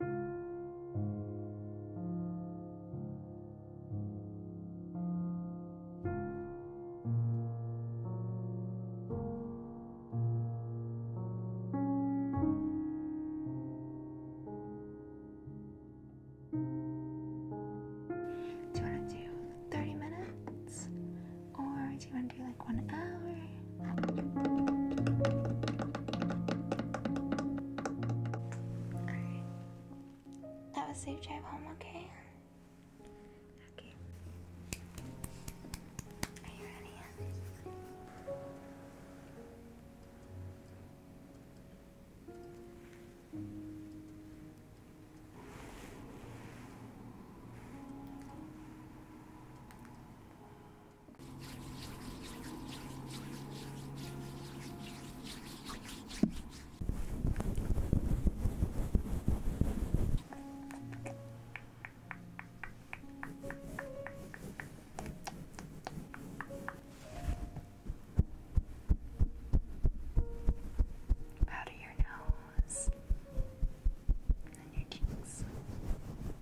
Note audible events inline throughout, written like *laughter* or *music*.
Do you want to do 30 minutes? Or do you want to do like one hour? Alright. That was safe drive home, okay? Okay. Are you ready? Powder your nose and your cheeks. Good.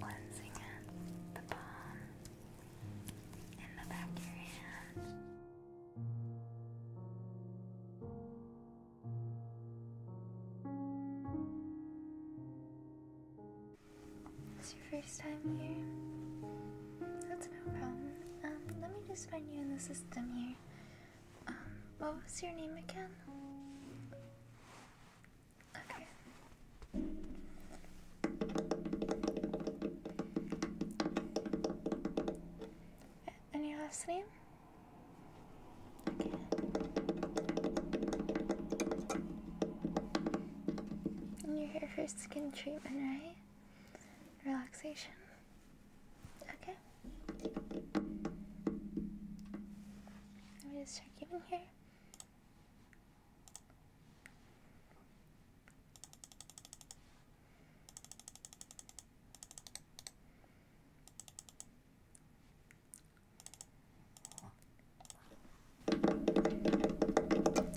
Cleansing it, the balm. It's your first time here. That's no problem. Um, let me just find you in the system here. Um, what was your name again? Okay. And your last name? Okay. you're here for skin treatment, right? Relaxation. Okay. Let me just check you in here.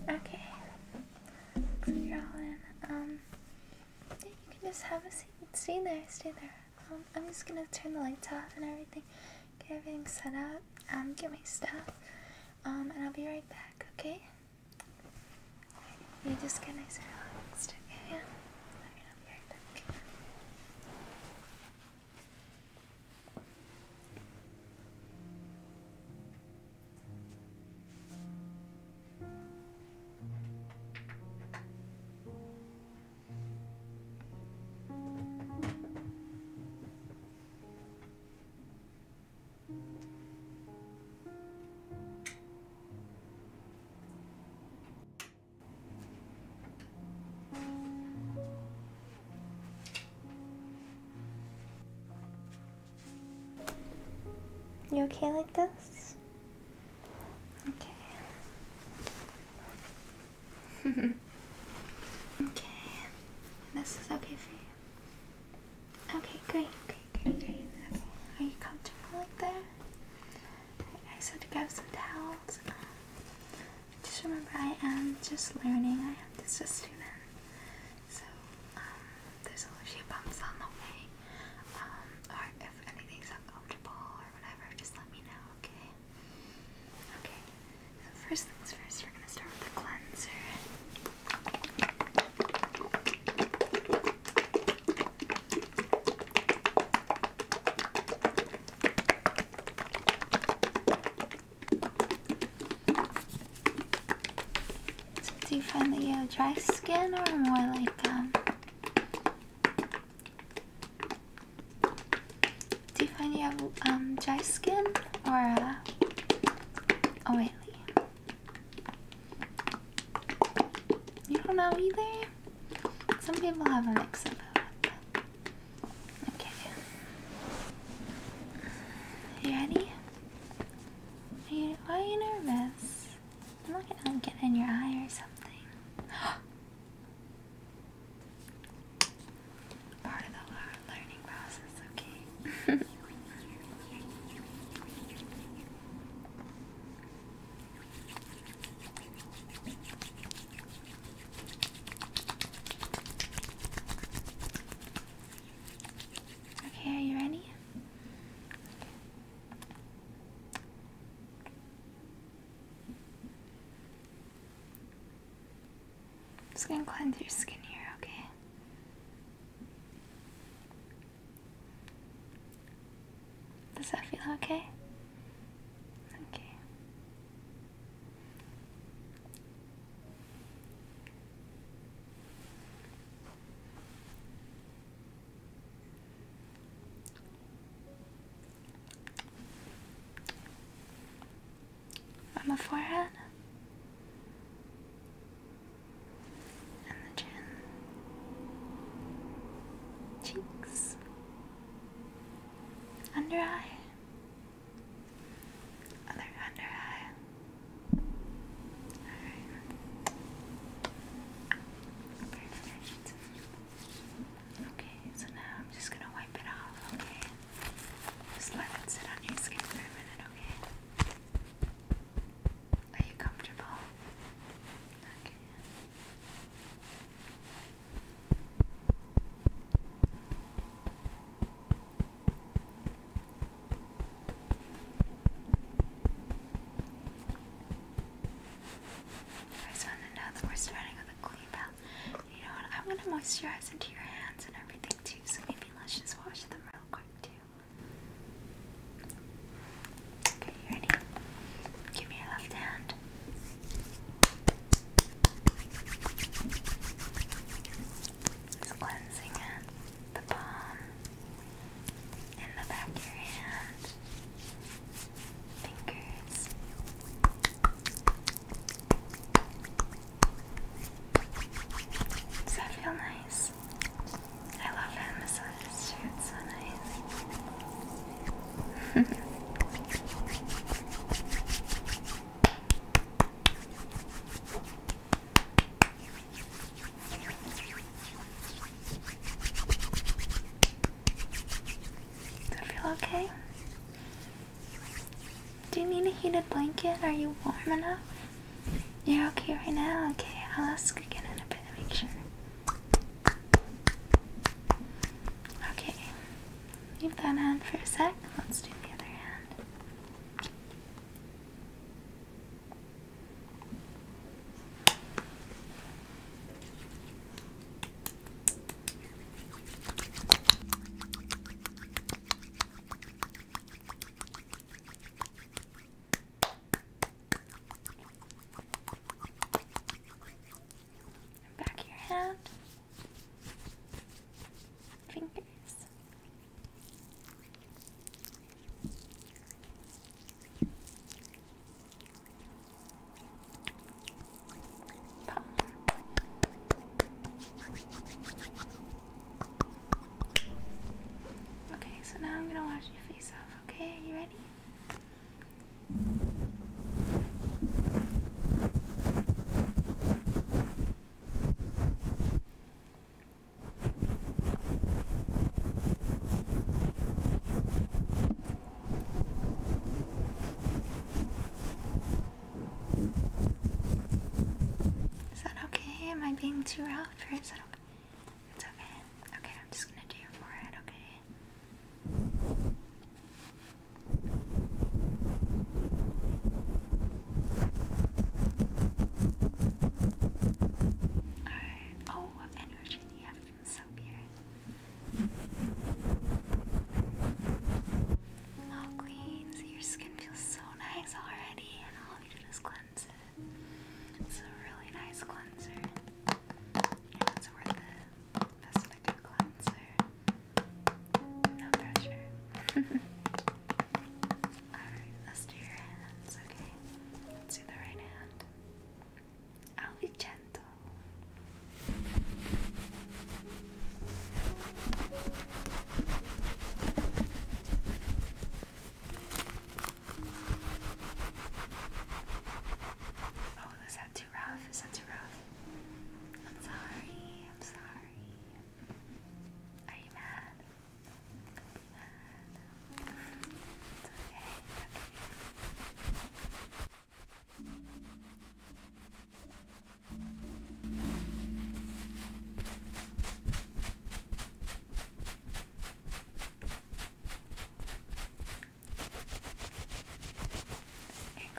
Okay. Looks like you all in. Um, you can just have a seat. Stay there, stay there. Um, I'm just gonna turn the lights off and everything. Get everything set up. I'm um, getting stuff, um, and I'll be right back, okay? You just get nice and relaxed, okay? Yeah. I'll be right back. You okay like this? Okay. *laughs* okay. This is okay for you. Okay, great, great, great, great. Okay. Are you comfortable like that? I, I said to grab some towels. just remember, I am just learning. I am just a student, so um, a few bumps on the way. Um, or if anything's uncomfortable or whatever, just let me know. Okay. Okay. So first things first, we're gonna start with the cleanser. do you find that you have dry skin or more like um do you find you have um, dry skin or oh wait, You don't know either? Some people have a mix of it. Okay. You ready? Are you, why are you nervous? I'm not gonna in your eye or something part of the learning process, okay? okay, are you ready? just gonna cleanse your skin here, okay? Does that feel okay? Okay on the forehead and the chin, cheeks, under eye, other under eye. Alright. Okay, so now I'm just gonna wipe it off, okay? Just let it sit on your skin for a minute, okay? Are you comfortable? Okay. I just want to know that we're starting with a clean palette. You know what? I want to moisturize into your hands and everything too, so maybe let's just wash them real quick too. Okay, ready? Give me your left hand. Just cleansing it, the palm, and the back of your hand, fingers. Does that feel nice? I love that massage too, so nice. *laughs* Does it feel okay? Do you need a heated blanket? Are you warm enough? You're okay right now? Okay, I'll ask again in a bit to make sure. Okay, leave that hand for a sec. Let's do the other hand. Back your hand, fingers. Okay, so now I'm gonna wash your face off. Okay, are you ready? Is that okay? Am I being too rough or is that okay? It's okay. Okay, I'm just gonna do your forehead, okay? Alright. Oh, energy do you have Oh, your skin feels so nice already, and all you did is cleanse it. It's a really nice cleanser. And it's worth it. Best I cleanser. No pressure. *laughs* Alright, let's do your hands, okay? Let's do the right hand. I'll be gentle, Oh, is that too rough? Is that too rough? I'm sorry. I'm sorry. Are you mad? Don't be mad. It's okay. It's okay. And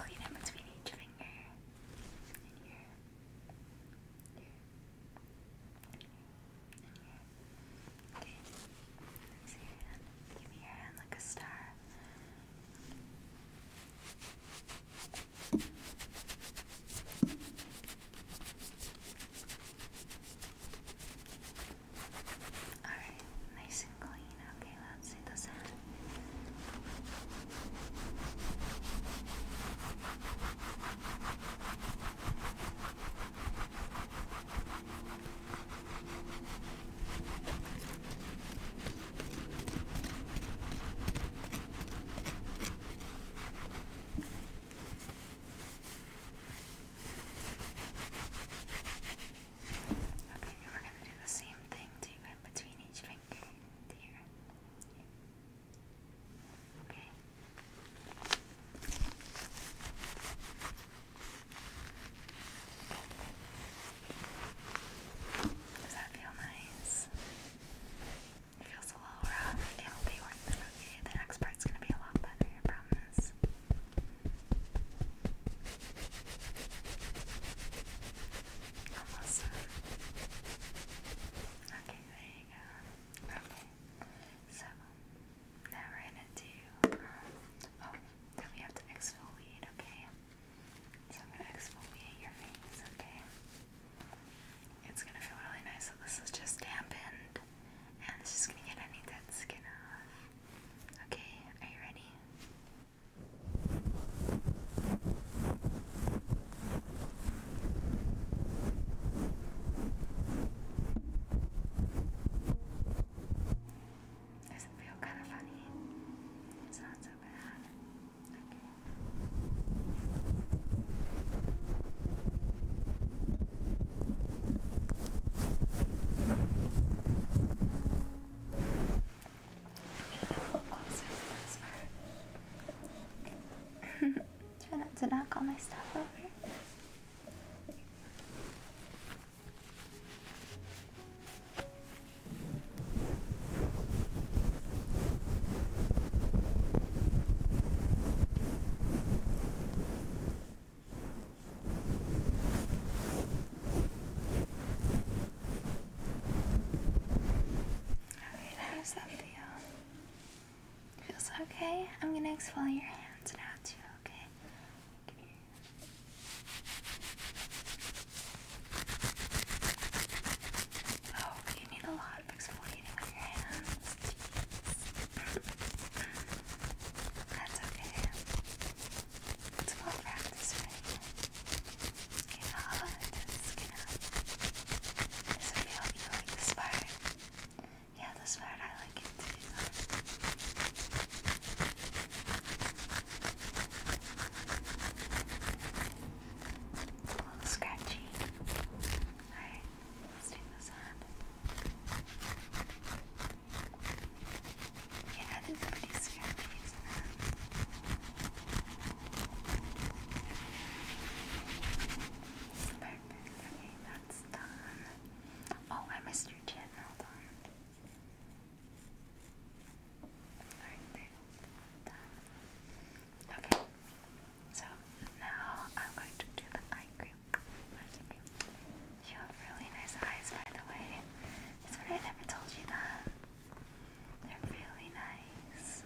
clean it between each finger and here. Here. And here. Okay. There's your hand. Give me your hand like a star. Alright, nice and clean. Okay, let's see the sand. Okay, we're going to do the same thing to in between each finger and here. Okay. Does that feel nice? It feels a little rough. It'll be Okay, the next part's gonna be a lot better, I promise. Almost Okay, there you go. Okay, so now we're gonna do. Um, oh, then we have to exfoliate, okay? So I'm gonna exfoliate your face, okay? It's gonna feel really nice that this is just dampened and it's just gonna get any dead skin off. Okay, are you ready? Doesn't feel kind of funny. It's not so bad. Okay. Also, *laughs* Try to knock all my stuff over. Alright, how's that feel? Feels okay? I'm gonna exfoliate your hands now too, okay? Oh, you need a lot of exfoliating your hands. That's okay. It's about practice, right? Get out skin out. Does it you like this part? Yeah, this part I like it too a little scratchy. Alright, let's take this on. Yeah, it is pretty scratchy, Okay, that's done. Oh, I missed your chin. Hold Alright, there. Okay. So now I'm going to do the eye cream. You have really nice eyes, by the way. That's what I never told you that. They're really nice.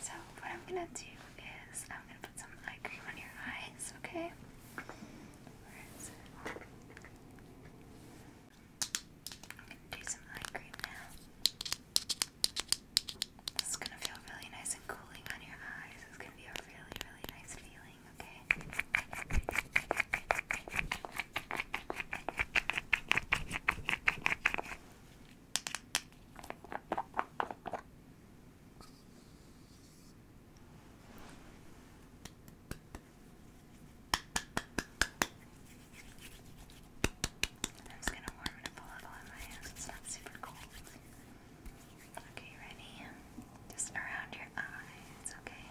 So what I'm gonna do is I'm gonna put some eye cream on your eyes, okay? Where is it? I'm gonna do some eye cream now. This is gonna feel really nice and cooling on your eyes. It's gonna be a really, really nice feeling, Okay, that's kind of warm and full of in my hands. It's not super cold. Okay, ready? Just around your eyes, Okay,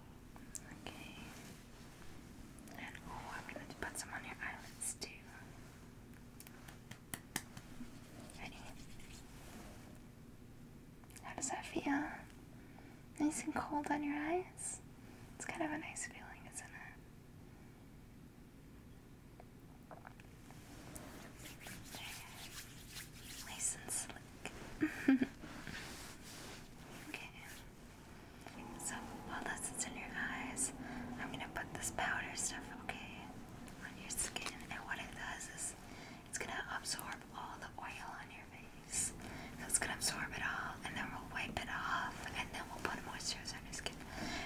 Okay. And oh, I'm going to put some on your eyelids too. Ready? How does that feel? Nice and cold on your eyes? It's kind of a nice feeling, isn't it? Nice and slick. *laughs* okay. So while this is in your eyes, I'm gonna put this powder stuff, okay, on your skin. And what it does is it's gonna absorb all the oil on your face. So it's gonna absorb it all, and then we'll wipe it off, and then we'll put a moisturizer on your skin.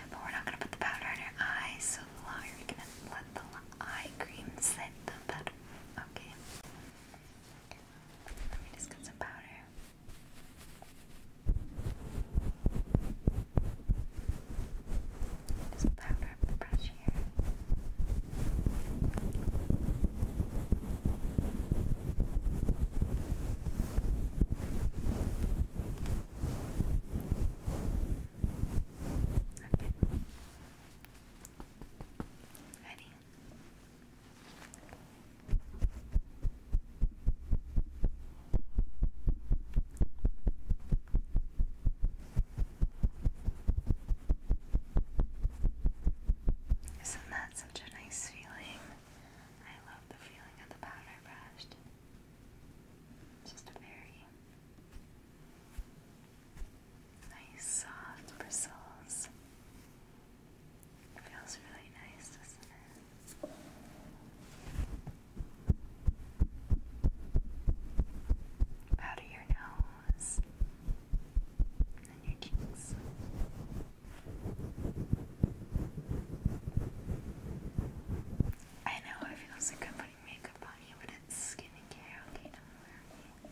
But we're not gonna put the powder in your eyes, so the you're gonna let the eye cream sit, the better. Okay. Let me just get some powder. Okay. Just powder the brush here. Okay. Ready? Isn't that such a nice feeling? I love the feeling of the powder brushed. just very nice soft bristles. It Feels really nice, doesn't it? Out your nose and your cheeks. I know it feels like I'm putting makeup on you, but it's skincare, okay? Don't worry.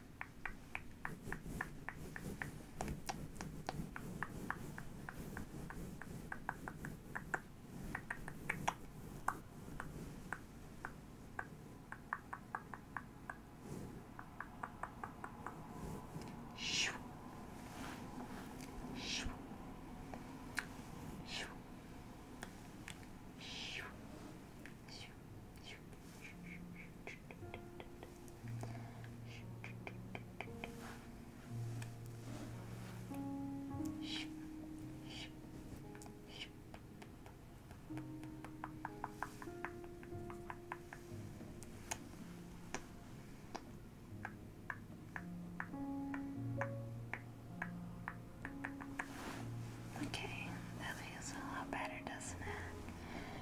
シュッシュッシュッシュッ Okay, that feels a lot better, doesn't it?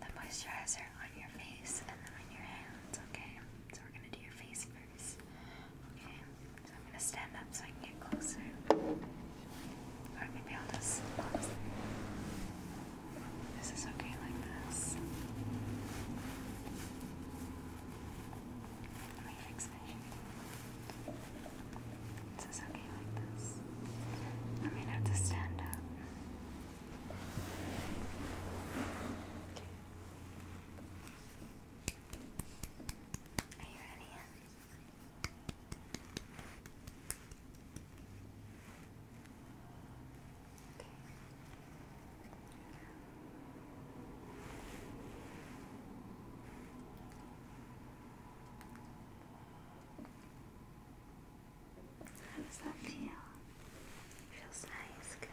the moisturizer on your face and then on your hands, okay? So we're gonna do your face first. Okay, so I'm gonna stand up so I can get closer. Or maybe I'll just This is okay like this. Let me fix my is this okay like this? I may have to stand up. Are you ready? How does that feel? Feels nice, good.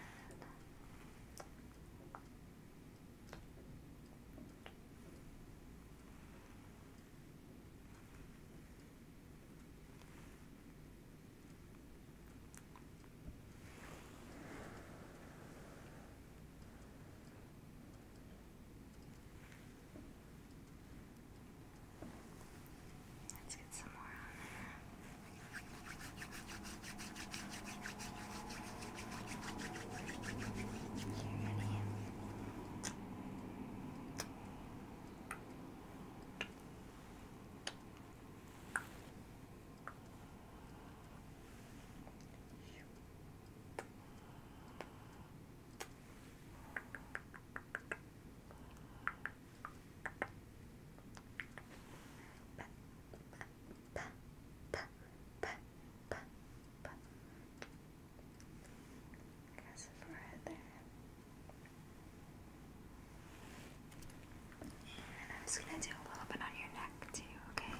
Let's get some more on there. Okay. Guess if right there. And I'm just gonna do a little bit on your neck too, okay?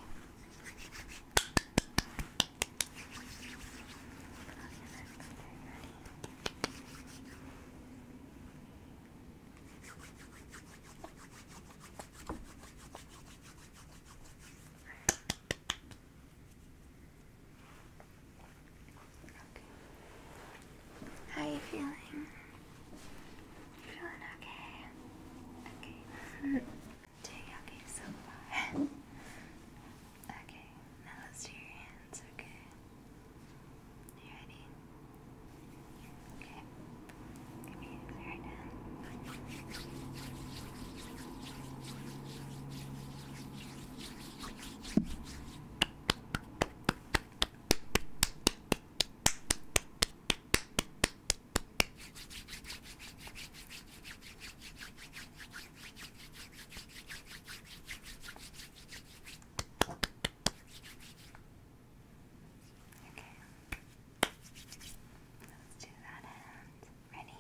How are you feeling? feeling okay? Okay. *laughs* teriyaki okay, now let's do your hands, okay? You ready? Okay. Give me the right Let's do that hand. Ready?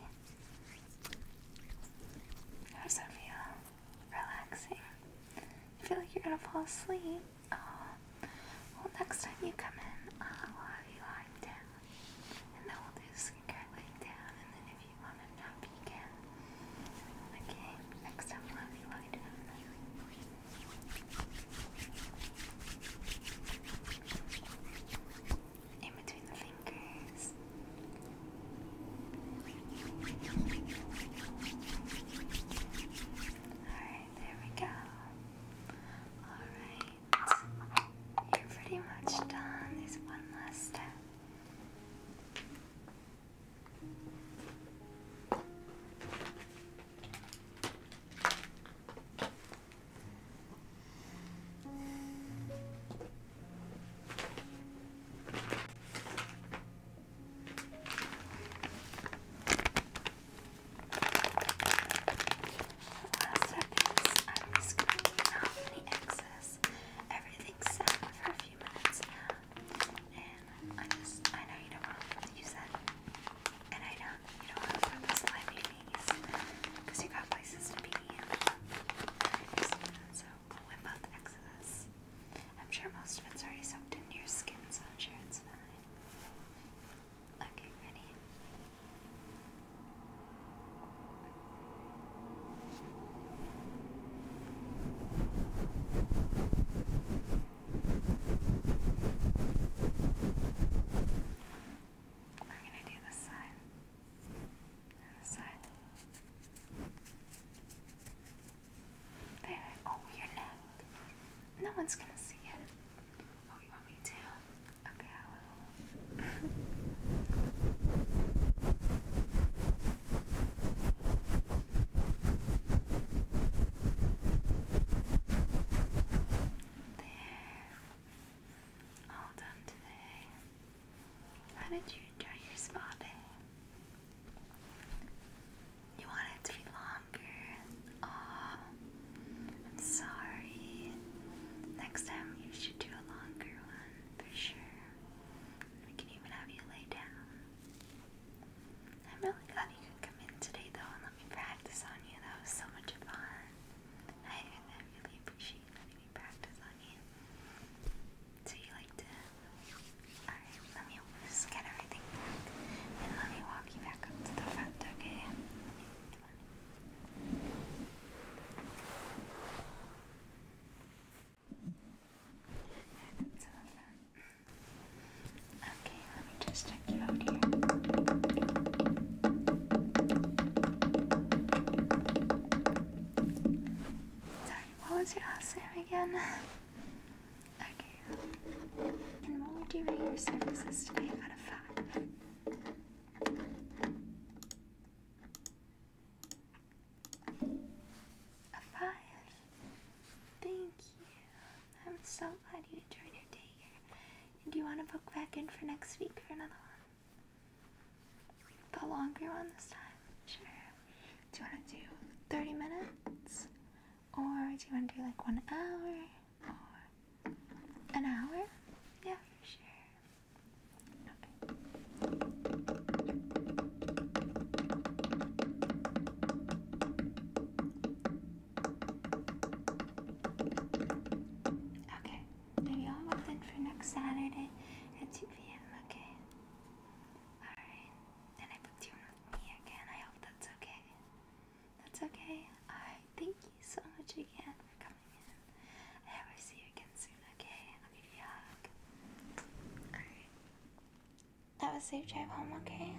How's that feel? Relaxing? I feel like you're gonna fall asleep. Oh. Well, next time you come in, I'll have you lying down and then we'll do skirt leg down, and then if you want to drop, you can. Okay, next up, love you, love you, in between the fingers. Alright, there we go. Alright, you're pretty much done. There's one last step. I'm just I know you don't want to use that. And I know you don't want to put the slimy bees. Because you got places to be. So I'll whip out the excess. I'm sure most of it's already soaked into your skin, so I'm sure it's fine. Okay, ready? We're gonna do this side and side. There. Oh, your neck. No one's gonna see it. Oh, you want me to? Okay, I will. there. All done today. How did you enjoy your spa day? You want to be longer. Aww. I'm sorry. Next time you should do a longer one for sure. We can even have you lay down. I'm really glad you could come in today though and let me practice on you. That was so much fun. I, really appreciate letting me practice on you. So you like to Alright, let me just get everything back. And let me walk you back up to the front, okay? Okay, let me just check you out here. Sorry, what was your last name again? Okay. And what would you rate your services today out of five? A five. Thank you. I'm so glad you enjoyed your day here. do you want to book back in for next week for another one? The longer one this time? Sure. Do you want to do 30 minutes? Or do you want to do like one hour? an hour? Yeah, for sure. Okay. Okay, maybe I'll look in for next Saturday at 2 p.m., okay? Alright, and I booked you with me again. I hope that's okay. That's okay. Alright, thank you so much again for I hope see you again soon, okay? I'll give you a hug. Alright. Have a safe drive home, okay?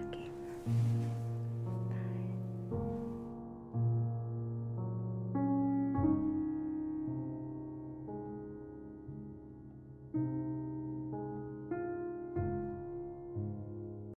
Okay. Bye.